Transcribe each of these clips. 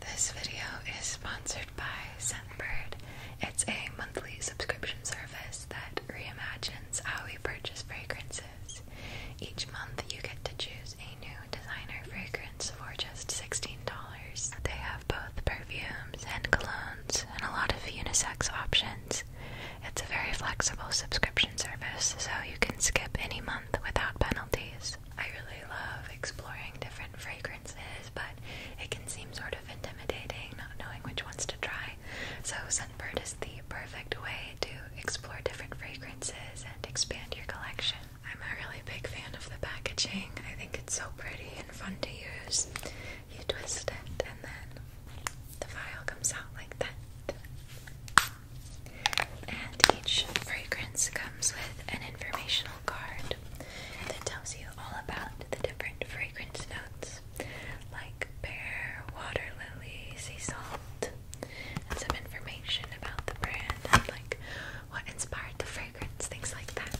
This video is sponsored by Scentbird. It's a monthly subscription service that reimagines how we purchase fragrances. Each month, you get to choose a new designer fragrance for just $16. They have both perfumes and colognes and a lot of unisex options. It's a very flexible subscription service, so you can skip any month without penalties. I really love exploring different fragrances, but it can seem sort of intimidating not knowing which ones to try. So, Scentbird is the perfect way to explore different fragrances and expand your collection. I'm a really big fan of the packaging, I think it's so pretty and fun to use. You twist it, and then the vial comes out like that each fragrance comes with an informational card that tells you all about the different fragrance notes like pear, water lily, sea salt, and some information about the brand and like what inspired the fragrance, things like that.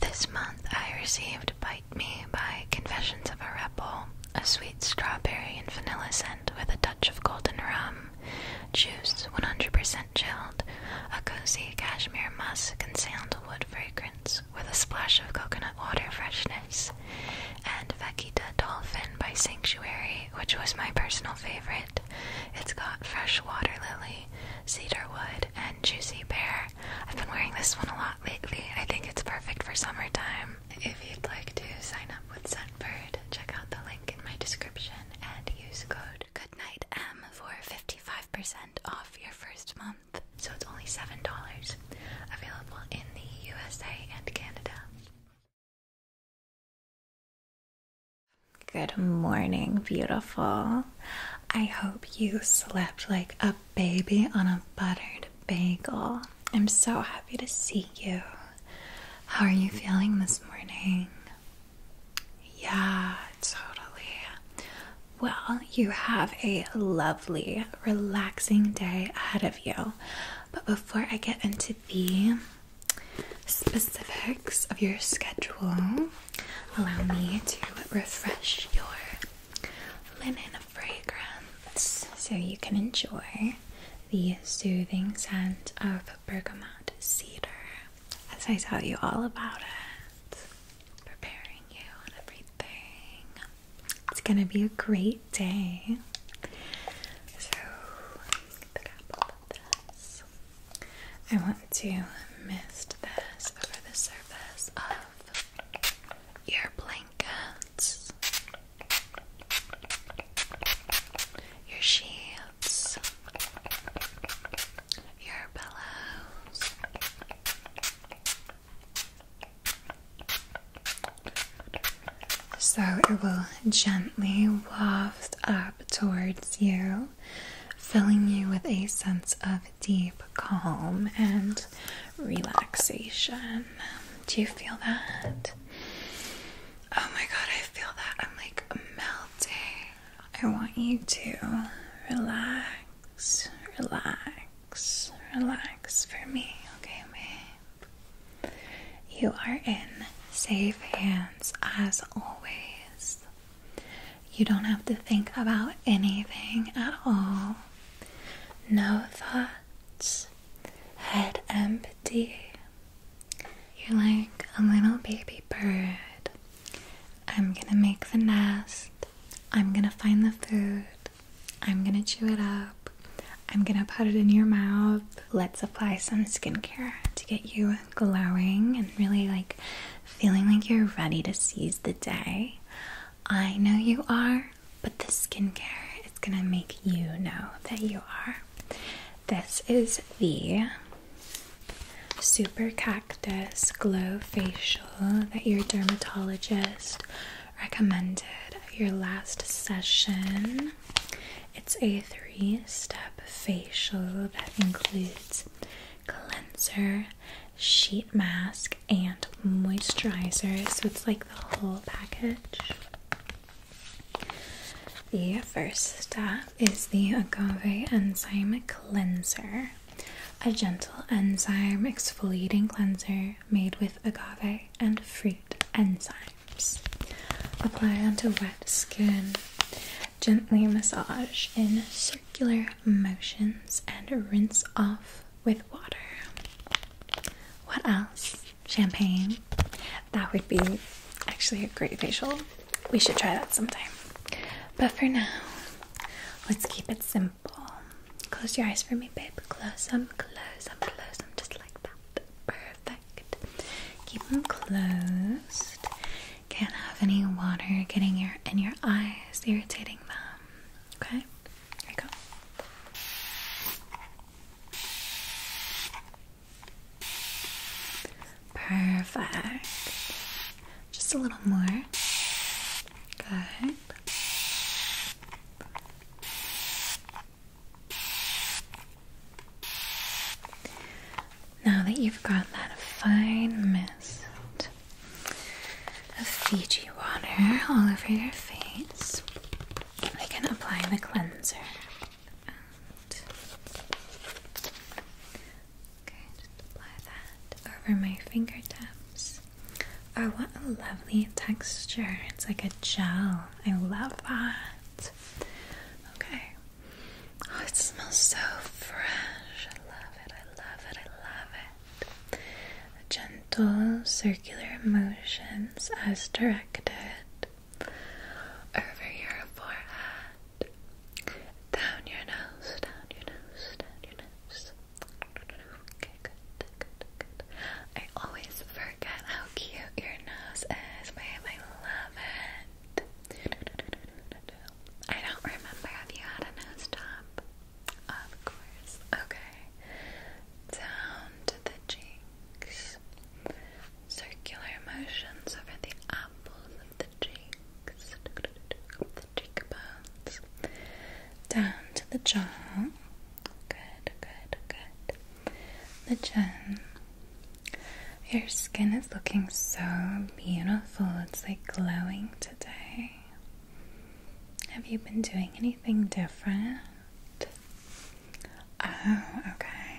This month I received Bite Me by Confessions of a Rebel, a sweet strawberry and vanilla scent with a touch of golden rum. Juice, 100% chilled, a cozy cashmere musk and sandalwood fragrance with a splash of coconut water freshness, and Vaquita Dolphin by Sanctuary, which was my personal favorite. It's got fresh water lily, cedar wood, and juicy pear. I've been wearing this one a lot lately. I think it's perfect for summertime. If you'd like to sign up with Sunbird, check out the link in my description and use code GoodnightM for 55% off your first month. So it's only $7. Available in the USA and Canada. Good morning, beautiful. I hope you slept like a baby on a buttered bagel. I'm so happy to see you. How are you feeling this morning? Yeah, totally. Well, you have a lovely, relaxing day ahead of you. But before I get into the specifics of your schedule, allow me to refresh your linen fragrance so you can enjoy the soothing scent of bergamot cedar as I tell you all about it, preparing you and everything. It's gonna be a great day. So, the cap of this. I want to mist this over the surface of your blankets your sheets, your pillows, so it will gently waft up towards you, filling you with a sense of deep calm and relaxation. Do you feel that? Oh my god, I feel that. I'm like melting. I want you to relax, relax, relax for me, okay, babe? You are in safe hands as always. You don't have to think about anything at all. No thoughts, head empty, you're like a little baby bird. I'm gonna make the nest. I'm gonna find the food. I'm gonna chew it up. I'm gonna put it in your mouth. Let's apply some skincare to get you glowing and really like feeling like you're ready to seize the day. I know you are, but the skincare is gonna make you know that you are. This is the Super Cactus Glow Facial that your dermatologist recommended at your last session. It's a three step facial that includes cleanser, sheet mask, and moisturizer. So it's like the whole package. The first step is the agave enzyme cleanser, a gentle enzyme exfoliating cleanser made with agave and fruit enzymes. Apply onto wet skin. Gently massage in circular motions and rinse off with water. What else? champagne. That would be actually a great facial. We should try that sometime. But for now, let's keep it simple. Close your eyes for me, babe. Close them, close them, close them, just like that. Perfect. Keep them closed. Can't have any water getting your in your eyes, irritating them. Okay? Here we go. Perfect. Just a little more. Good. Now that you've got that fine mist of Fiji water all over your face, I can apply the cleanser. okay, just apply that over my fingertips. Oh, what a lovely texture! It's like a gel. I love that. Okay. Oh, it smells so fresh. I love it. I love it. I love it. Gentle circular motions as directed connect it over your forehead, down your nose, down your nose, down your nose. Okay, good, good, good. I always forget how cute your nose is, babe. I love it. I don't remember if you had a nose job. Of course. Okay down to the cheeks. Circular motions over the apples of the cheeks, the cheekbones, down to the jaw. Good, good, good. The chin. Your skin is looking so beautiful. It's like glowing today. Have you been doing anything different? Oh, okay.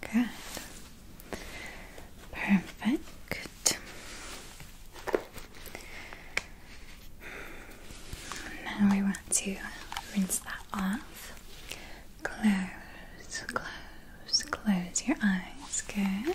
Good. Perfect. Now we want to rinse that off. Close, close, close your eyes. Good.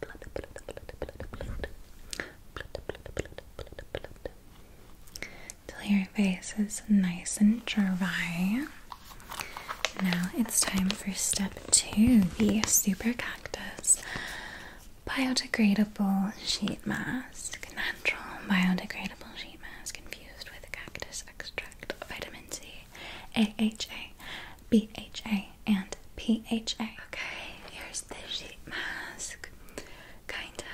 blood, Till your face is nice and dry. Now it's time for step two, the Super Cactus Biodegradable Sheet Mask. Natural biodegradable sheet mask infused with cactus extract, vitamin C, AHA, BHA and PHA. Okay, here's the sheet mask. Kind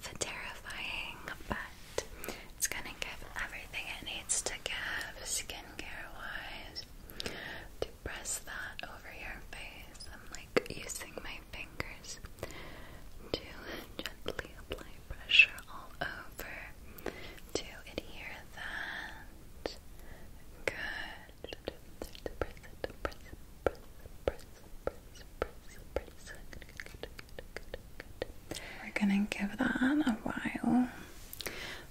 of terrifying, but it's gonna give everything it needs to give skincare wise. To press that over your face, I'm like using my fingers to gently apply pressure all over to adhere that. Good. We're gonna give that a while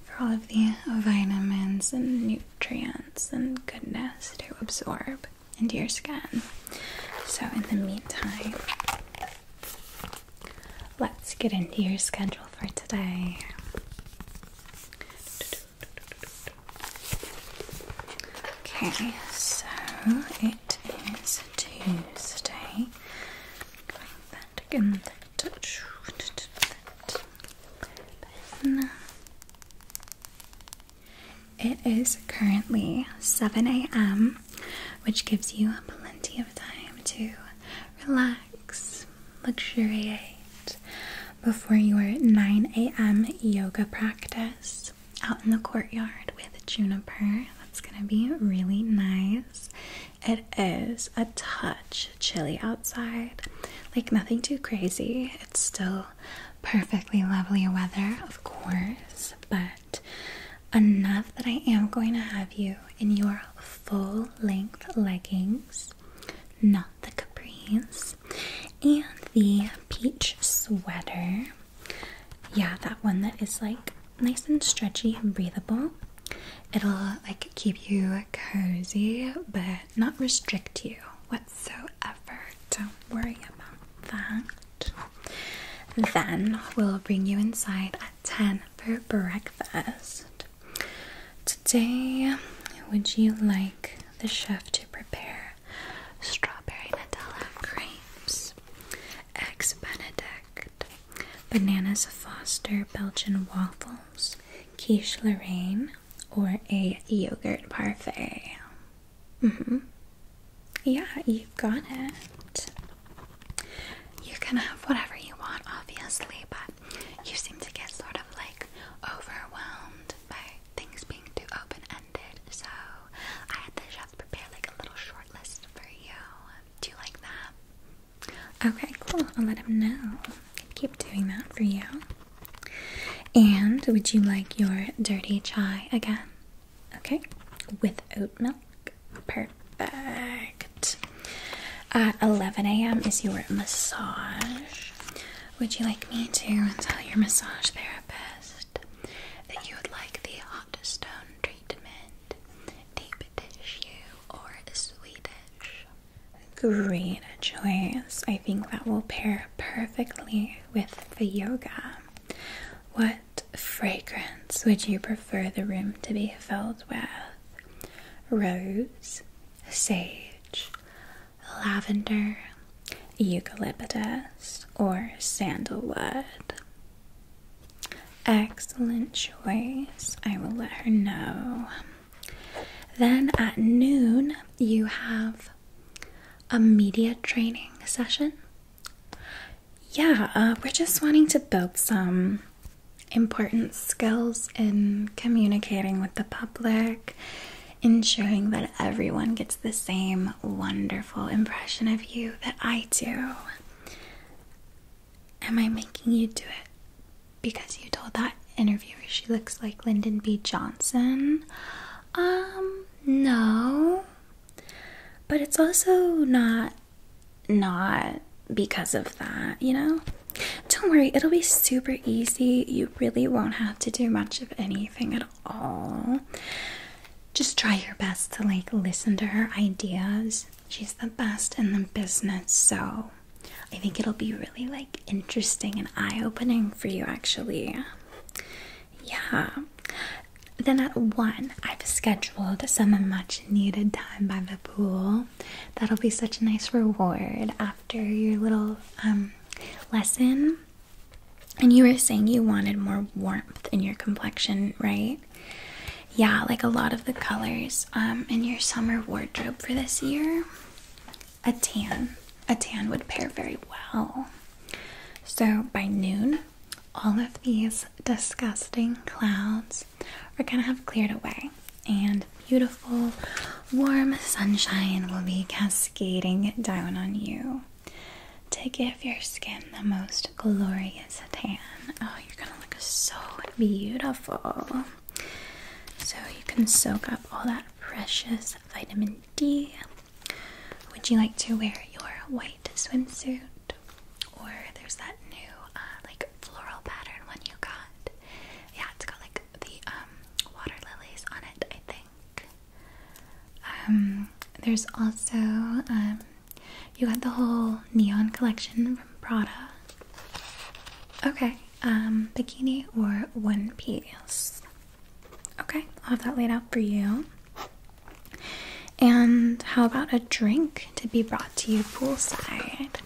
for all of the vitamins and nutrients and goodness to absorb into your skin. So in the meantime, let's get into your schedule for today. Okay, so it is Tuesday. It is currently 7 a.m., which gives you plenty of time to relax luxuriate before your 9 a.m. yoga practice out in the courtyard with juniper. That's gonna be really nice. It is a touch chilly outside, like nothing too crazy. It's still perfectly lovely weather, of course, but enough that I am going to have you in your full length leggings, not the capris, and the peach sweater. Yeah, that one that is like nice and stretchy and breathable. It'll like keep you cozy but not restrict you whatsoever. Don't worry about that. Then we'll bring you inside at 10 for breakfast. Today, would you like the chef to prepare strawberry Nutella crepes, eggs Benedict, bananas Foster Belgian waffles, quiche Lorraine, or a yogurt parfait? Mm-hmm. Yeah, you got it. You can have whatever you want, obviously, but you seem to get sort of like overwhelmed by things being too open ended. So I had the chef prepare like a little short list for you. Do you like that? Okay, cool. I'll let him know. Keep doing that for you. And would you like your dirty chai again? Okay, with oat milk. Perfect. At uh, 11 a.m. is your massage. Would you like me to tell your massage therapist that you would like the hot stone treatment, deep tissue, or Swedish? Great choice. I think that will pair perfectly with the yoga. What fragrance would you prefer the room to be filled with? rose, sage, lavender, eucalyptus, or sandalwood. Excellent choice. I will let her know. Then at noon, you have a media training session. Yeah, uh, we're just wanting to build some important skills in communicating with the public, ensuring that everyone gets the same wonderful impression of you that I do. Am I making you do it because you told that interviewer she looks like Lyndon B. Johnson? Um, no. But it's also not not because of that, you know? Don't worry, it'll be super easy. You really won't have to do much of anything at all. Just try your best to like listen to her ideas. She's the best in the business, so I think it'll be really like interesting and eye-opening for you actually. Yeah. Then at 1, I've scheduled some much needed time by the pool. That'll be such a nice reward after your little um, lesson. And you were saying you wanted more warmth in your complexion, right? Yeah, like a lot of the colors um, in your summer wardrobe for this year. A tan. A tan would pair very well. So by noon, all of these disgusting clouds clouds are going to have cleared away, and beautiful, warm sunshine will be cascading down on you to give your skin the most glorious tan. Oh, you're going to look so beautiful. So, you can soak up all that precious vitamin D. Would you like to wear your white white swimsuit, or there's that new uh, like floral pattern one you got. Yeah, it's got like the um, water lilies on it, I think. Um, there's also um, you got the whole neon collection from Prada. Okay, bikini or one piece. Okay, I'll have that laid out for you. And how about a drink to be brought to you poolside?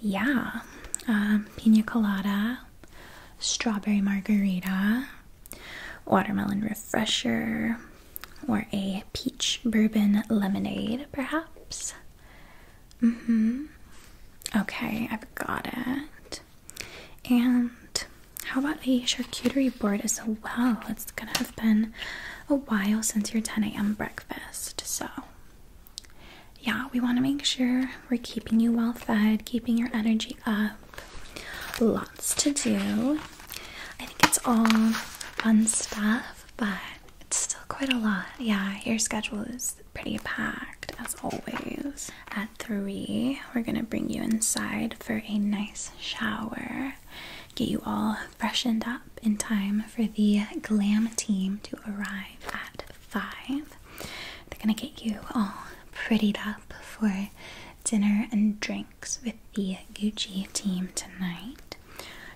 Yeah, um, pina colada, strawberry margarita, watermelon refresher, or a peach bourbon lemonade, perhaps. hmm. Okay, I've got it. And how about a charcuterie board as well? It's gonna have been a while since your 10 a.m. breakfast. So, yeah, we want to make sure we're keeping you well fed, keeping your energy up. Lots to do. I think it's all fun stuff, but it's still quite a lot. Yeah, your schedule is pretty packed as always. At 3, we're gonna bring you inside for a nice shower, get you all freshened up in time for the glam team to arrive at five. They're gonna get you all prettied up for dinner and drinks with the Gucci team tonight.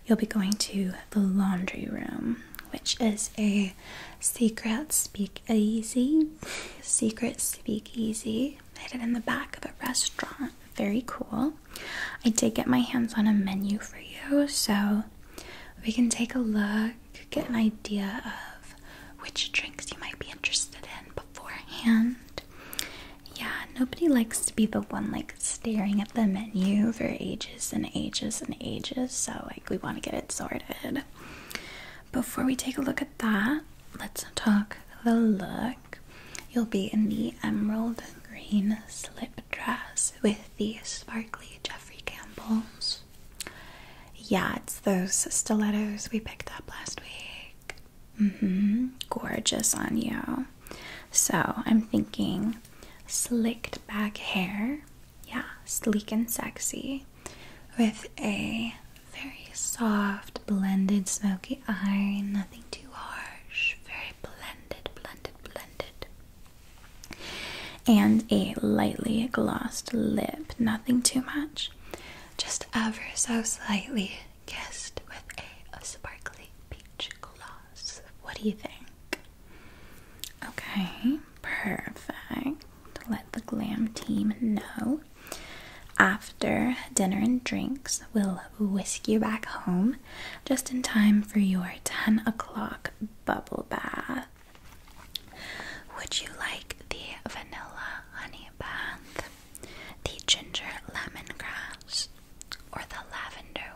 You'll be going to the laundry room, which is a secret speakeasy, secret speakeasy I it in the back of a restaurant. Very cool. I did get my hands on a menu for you, so we can take a look, get an idea of which drinks you might be interested in beforehand. Yeah, nobody likes to be the one like staring at the menu for ages and ages and ages, so like we want to get it sorted. Before we take a look at that, let's talk the look. You'll be in the emerald green slip dress with the sparkly Jeffrey Campbells. Yeah, it's those stilettos we picked up last week. Mm hmm. Gorgeous on you. So I'm thinking slicked back hair. Yeah, sleek and sexy. With a very soft blended smoky the eye, nothing too harsh, very blended, blended, blended. And a lightly glossed lip, nothing too much, just ever so slightly kissed with a, sparkly peach gloss. What do you think? Okay, perfect. To Let the glam team know. After dinner and drinks, we'll Whisk you back home just in time for your 10 o'clock bubble bath. Would you like the vanilla honey bath, the ginger lemongrass, or the lavender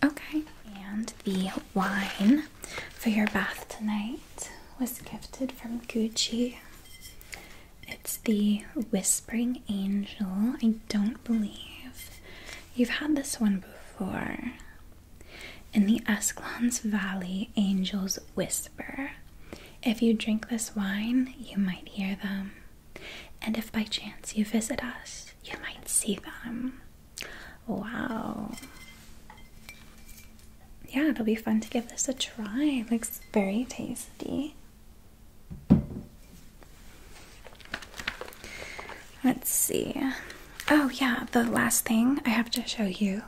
willow? Okay, and the wine for your bath tonight was gifted from Gucci. It's the Whispering Angel. I don't believe you've had this one before. In the Escalons Valley, angels whisper. If you drink this wine, you might hear them. And if by chance you visit us, you might see them. Wow yeah, it'll be fun to give this a try. looks very tasty. Let's see. Oh, yeah, the last thing I have to show you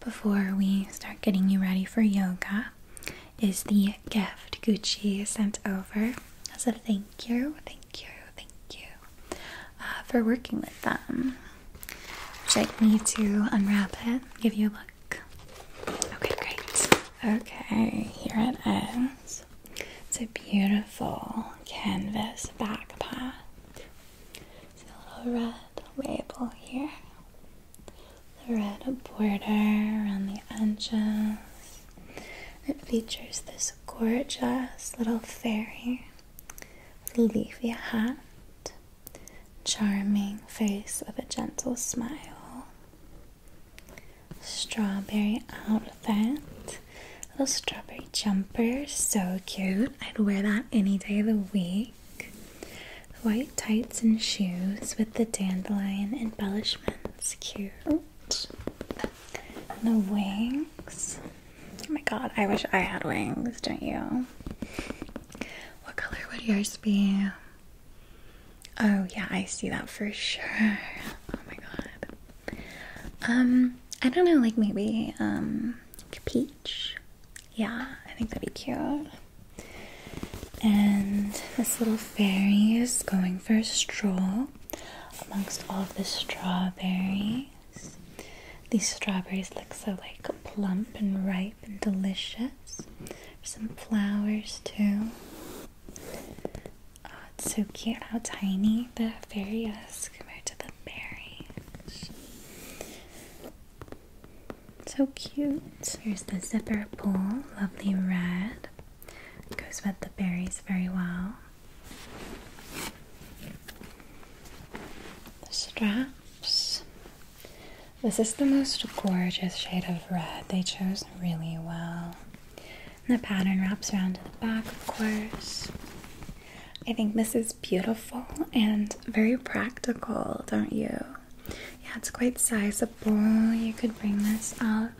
before we start getting you ready for yoga is the gift Gucci sent over as a thank you, thank you, thank you uh, for working with them. Would you like to unwrap it, give you a look? Okay, great. Okay, here it is. It's a beautiful canvas backpack. It's a little red label here. The red border around the edges. It features this gorgeous little fairy with a leafy hat charming face with a gentle smile. Strawberry outfit. Little strawberry jumper, so cute. I'd wear that any day of the week. White tights and shoes with the dandelion embellishments, cute. the wings. Oh my god, I wish I had wings, don't you? What color would yours be? Oh yeah, I see that for sure. Oh my god. Um, I don't know, like maybe um peach. Yeah, I think that'd be cute. And this little fairy is going for a stroll amongst all of the strawberries. These strawberries look so like plump and ripe and delicious. Some flowers too. Oh, it's so cute how tiny the fairy is compared to the berries. So cute. Here's the zipper pull, lovely red. Goes with the berries very well. The straps, this is the most gorgeous shade of red. They chose really well. the pattern wraps around to the back, of course. I think this is beautiful and very practical, don't you? Yeah, it's quite sizable. You could bring this out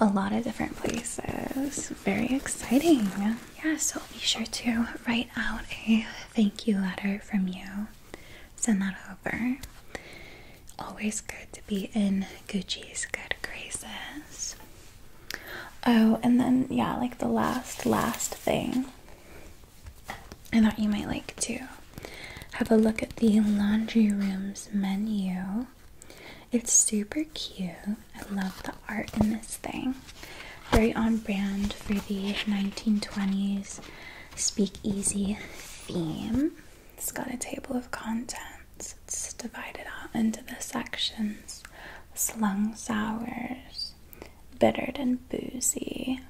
a lot of different places. Very exciting. Yeah, so be sure to write out a thank you letter from you send that over. Always good to be in Gucci's good graces. Oh, and then, yeah, like the last, last thing I thought you might like to have a look at the laundry room's menu. It's super cute. I love the art in this thing. Very on brand for the 1920s speakeasy theme. It's got a table of contents. It's divided out into the sections slung sours, bittered and boozy,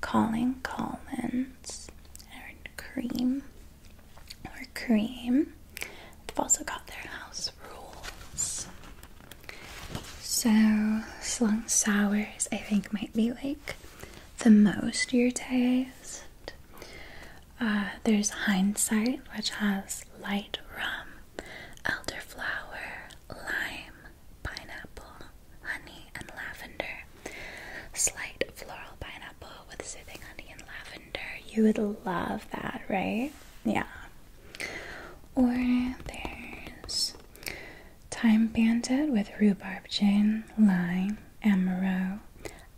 calling Collins, and cream or cream. They've also got their house rules. So, slung sours, I think, might be like the most your taste. Uh, there's hindsight, which has light rum, elderflower, lime, pineapple, honey, and lavender. Slight floral pineapple with soothing honey and lavender. You would love that, right? Yeah. Or there's Time banded with rhubarb gin, lime, amaro,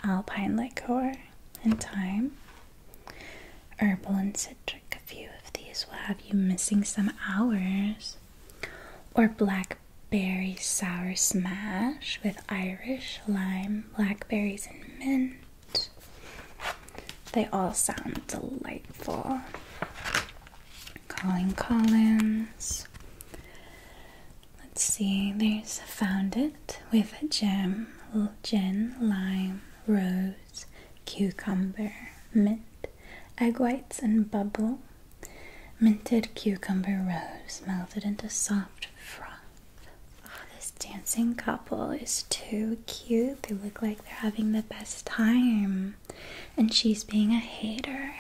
alpine liqueur, and thyme. Herbal and citric. A few of these will have you missing some hours. Or blackberry sour smash with Irish, lime, blackberries, and mint. They all sound delightful. Colin Collins. Let's see, there's Found It with a Gem, Gin, Lime, Rose, Cucumber, Mint, Egg Whites, and Bubble. Minted cucumber rose melted into soft froth. Oh, this dancing couple is too cute. They look like they're having the best time and she's being a hater.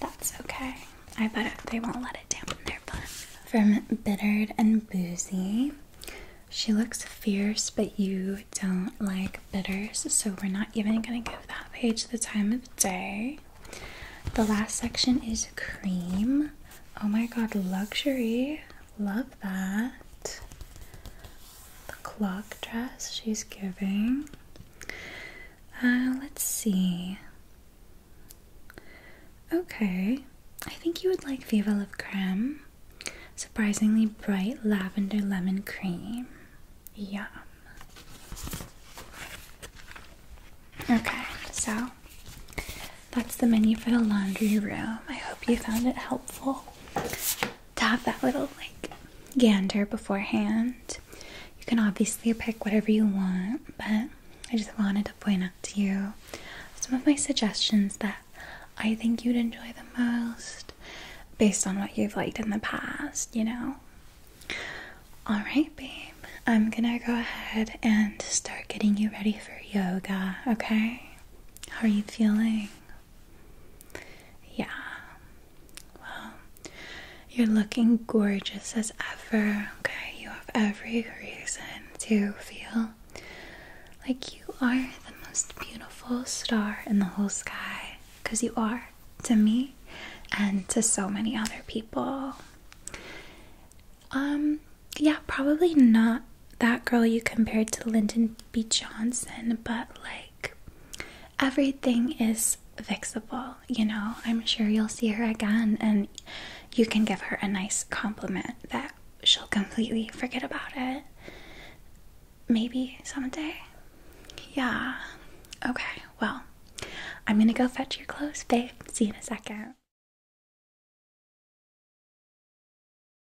That's okay. I bet they won't let it dampen their fun. From Bittered and Boozy. She looks fierce, but you don't like bitters, so we're not even going to give that page the time of day. The last section is cream. Oh my god, luxury. Love that the clock dress she's giving. Uh, let's see. Okay, I think you would like Viva La Creme. Surprisingly bright lavender lemon cream. Yum. Okay, so that's the menu for the laundry room. I hope you found it helpful to have that little like gander beforehand. You can obviously pick whatever you want, but I just wanted to point out to you some of my suggestions that I think you'd enjoy the most based on what you've liked in the past, you know? Alright, babe, I'm gonna go ahead and start getting you ready for yoga, okay? How are you feeling? Yeah. Well, you're looking gorgeous as ever. Okay, you have every reason to feel like you are the most beautiful star in the whole sky because you are to me and to so many other people. Um, yeah, probably not that girl you compared to Lyndon B. Johnson, but like everything is fixable, you know. I'm sure you'll see her again and you can give her a nice compliment that she'll completely forget about it. Maybe someday. Yeah. Okay, well, I'm gonna go fetch your clothes, babe. See you in a second.